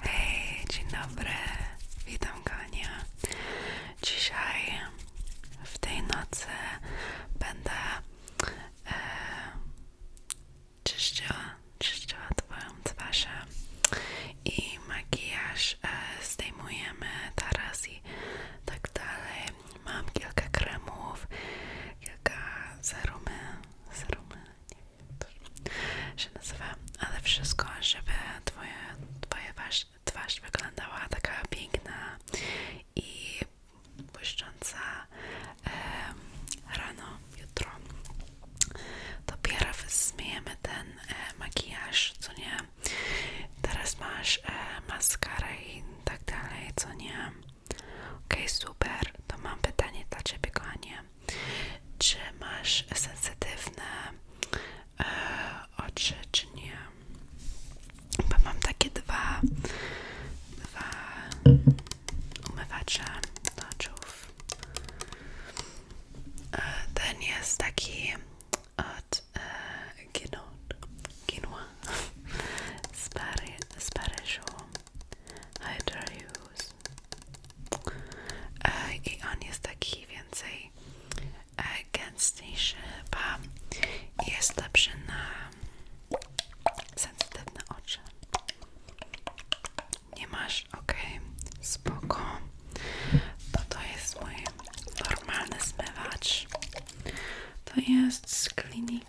Hej, dzień dobry, witam Gania. Dzisiaj w tej nocy będę e, czyściła, czyściła Twoją twarz i makijaż e, zdejmujemy teraz i tak dalej. Mam kilka kremów, kilka serumy, nie się nazywa, ale wszystko, żeby twoje, twoja twarz, twarz wyglądała taka piękna i błyszcząca rano, jutro. Dopiero zmieniamy ten e, makijaż, co nie? Teraz masz e, maskarę i tak dalej, co nie? Okej, okay, super. To mam pytanie dla Ciebie, kochanie. Czy masz sensytywne e, oczy, czy nie? Bo mam takie dwa, dwa umywacze do oczów. E, ten jest taki od e, Gino, Ginoa z, Paryżu. I dare use. E, i on jest taki więcej e, gęstniejszy chyba jest lepszy na sensytywne oczy nie masz? ok, spoko to to jest mój normalny zmywacz to jest z Clinique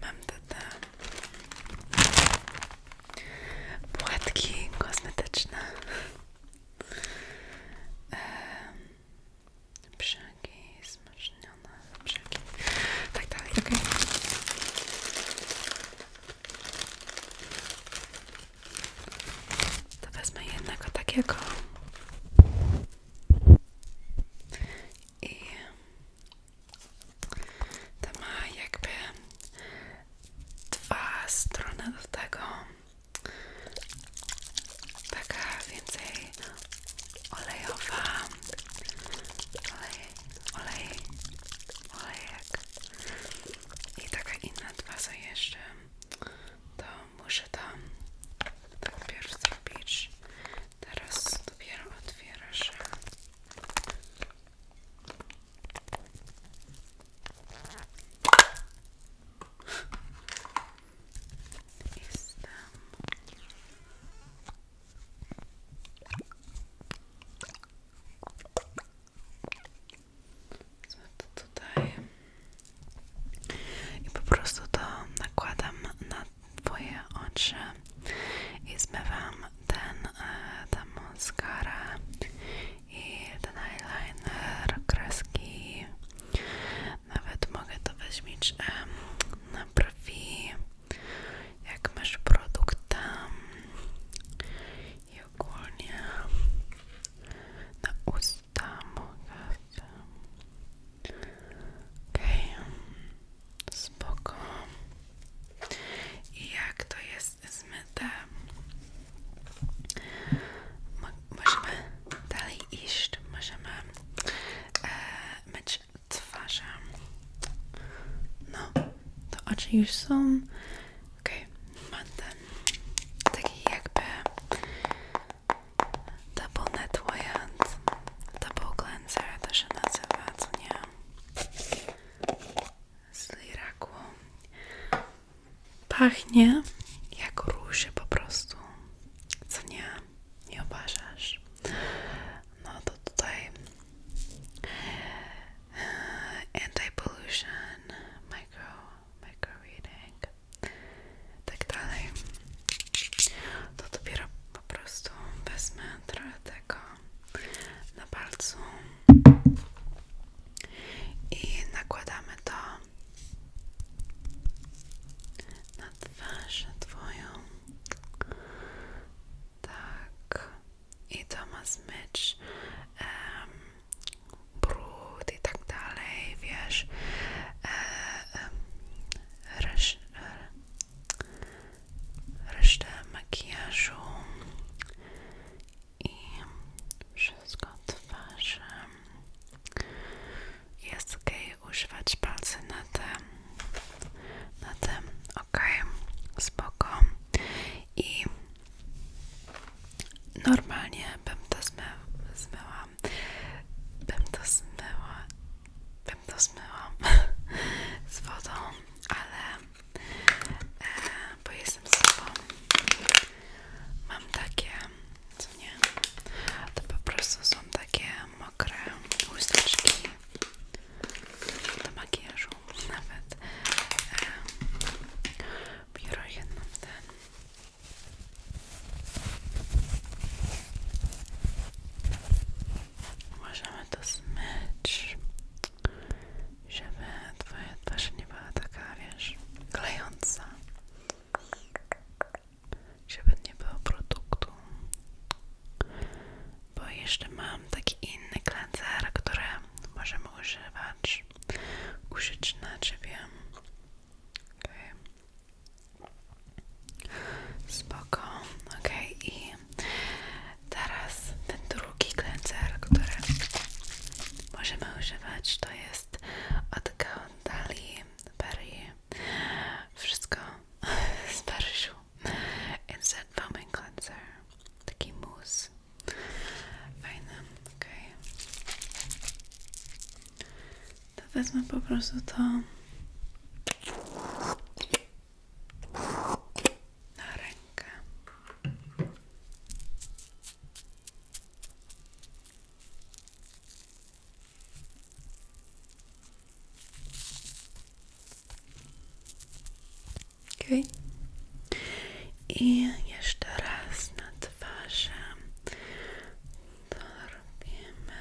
Mam te, te płatki kosmetyczne. Brzegi smażnione, brzegi. Tak dalej, okej. To wezmę jednego takiego i to ma jakby dwa strony do tego taka więcej olejowa olej, olej, olejek i taka inna dwa są jeszcze to muszę tam najpierw zrobić. Teraz dopiero otwiera się. Jestem i po prostu to nakładam na Twoje oczy i zmywam ten, e, tę maskarę i ten eyeliner, kreski. Nawet mogę to weźmieć e, na brwi, jak masz produkt i ogólnie na usta mogę okej okay. spoko i jak to jest zmyte Mo możemy dalej iść możemy e, myć twarze no to oczy już są ok, okay, mam ten taki jakby double net double cleanser to się nazywa, co nie? Z Liraku. Pachnie jak róże po prostu, co nie? Nie obażasz? No to tutaj anti-pollution, micro, micro reading, tak dalej. To dopiero po prostu wezmę trochę tego na palcu i nakładamy to na twarz twoją. Tak i to ma zmyć brud i tak dalej, wiesz um, makijażu i wszystko twarzy jest ok używać palce na tym na tym ok, spoko i Normalnie bym to zmył, zmyła. Bym to zmyła. Bym to zmyła z wodą, ale e, bo jestem sobą. Mam takie, co nie? To po prostu są takie mokre chusteczki do makijażu dużo, nawet e, biuro jedną ten. Możemy to zmyć, żeby twoja twarz nie była taka, wiesz, klejąca. Żeby nie było produktu. Bo jeszcze mam taki inny cleanser, który możemy używać użyć na drzewie. Okay. Spoko, ok. I teraz ten drugi cleanser, który możemy używać, to jest od Gauntali Berry. Wszystko z Paryżu. Instant Foaming Cleanser. Taki mus Fajne, okej. Okay. To wezmę po prostu to na ok? I jeszcze raz na twarzy to robimy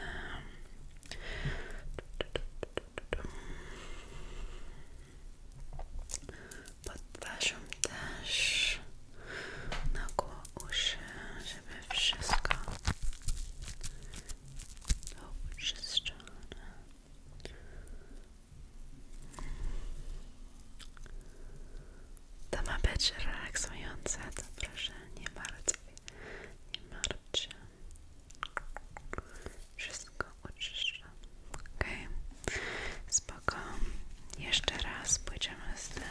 pod twarzą też na koło uszy, żeby wszystko było czyszczone to ma być relaksujące, to proszę, nie martw, nie martw Wszystko oczyszczam, ok? Spoko. Jeszcze raz pójdziemy z tym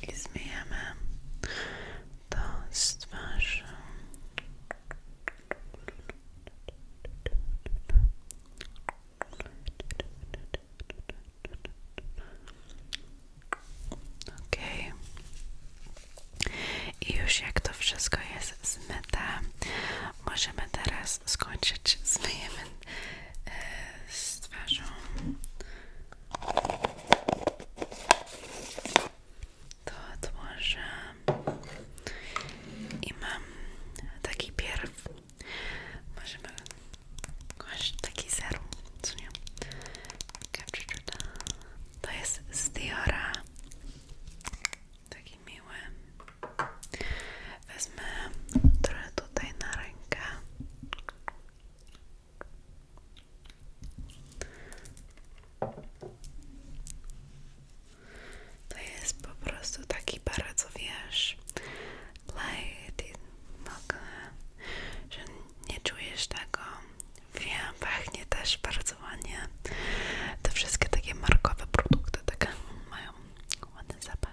i to z Okay. I już jak to wszystko jest zmyte, możemy teraz skończyć. Zmyjemy e, z to odłożę i mam taki pierw możemy kochać taki serum co nie to jest z Diora taki miły wezmę trochę tutaj na rękę to jest po prostu taki bardzo, wiesz, light w że nie czujesz tego. Wiem, pachnie też bardzo ładnie. Te wszystkie takie markowe produkty, taką mają ładny zapach.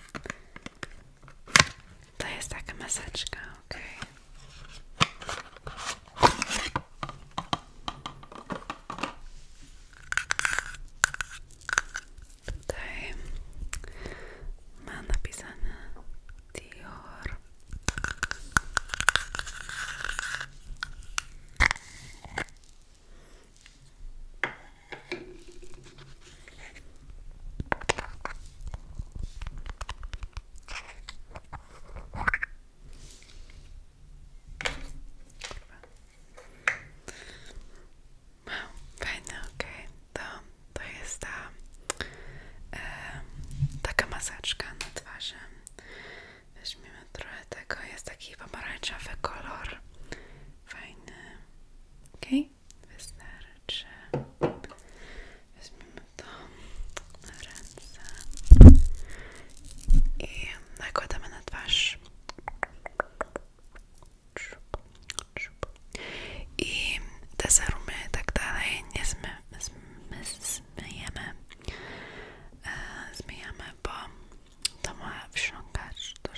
Play a second message, go, okay. Tutaj ma napisane Dior. Wow, fajne, To, to jest ta e, taka maseczka na twarzy. Weźmiemy trochę tego. Jest taki pomarańczowy kolor fajny. Ok, wystarczy. Weźmiemy to na ręce i nakładamy na twarz. I te serumy i tak dalej nie zmy, zmy, zmyjemy, e, zmyjamy, bo to ma wsiąkać do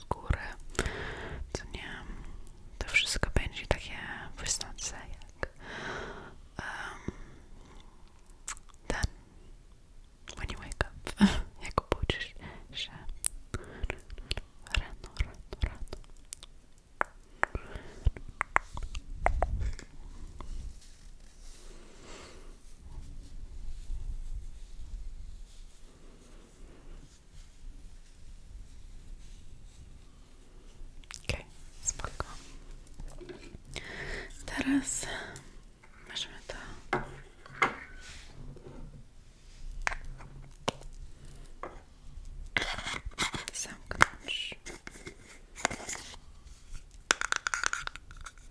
skóry, to nie, to wszystko będzie takie wysnące jak um, when you wake up, jak obudzisz się rano, rano, rano okay, spoko. Teraz możemy to zamknąć.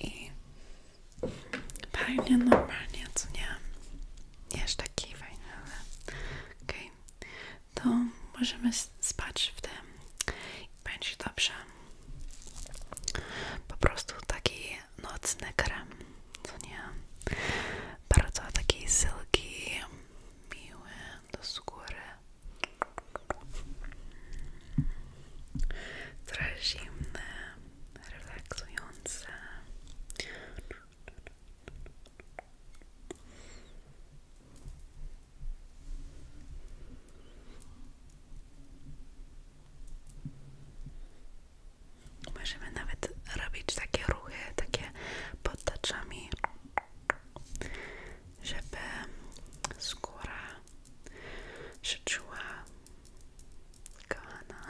I fajnie, normalnie, co nie? Nie jest taki fajny, ale okej. To możemy spać w tym i będzie dobrze. Po prostu taki nocny krem, co nie? Bardzo taki silki, miły, do skóry. Trochę zimne, relaksujące. Możemy nawet robić takie ruchy, takie potaczami, żeby skóra się czuła kochana.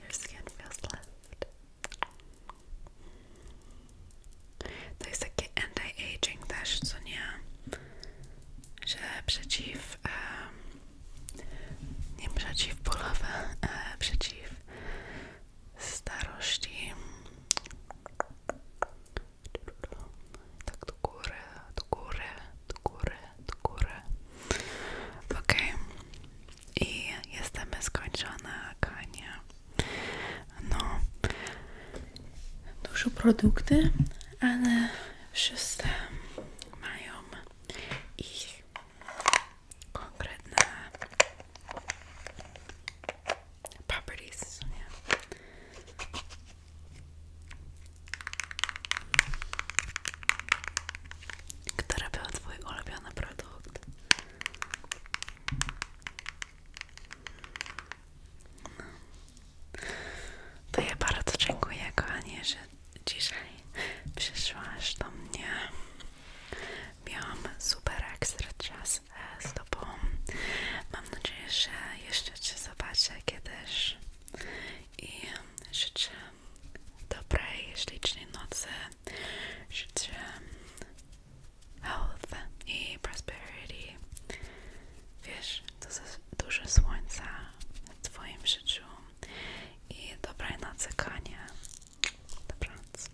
Your skin feels left. To jest takie anti-aging też, co nie? Że przeciw... E, nie przeciwbólowe, e, przeciw starości. Tak do góry, do góry, do góry, do góry. Ok. I jesteśmy skończone, Kania. No, dużo produkty, ale wszyscy mają ich konkretne properties, nie? Który był twój ulubiony produkt? No. To ja bardzo dziękuję kochanie, że dzisiaj przyszłaś do mnie. Miałam super ekstra czas z, Tobą. Mam nadzieję, że jeszcze Cię zobaczę kiedyś i życzę dobrej, ślicznej nocy, życzę health i prosperity. Wiesz, dużo słońca w Twoim życiu i dobrej nocy, konie. Dobranoc.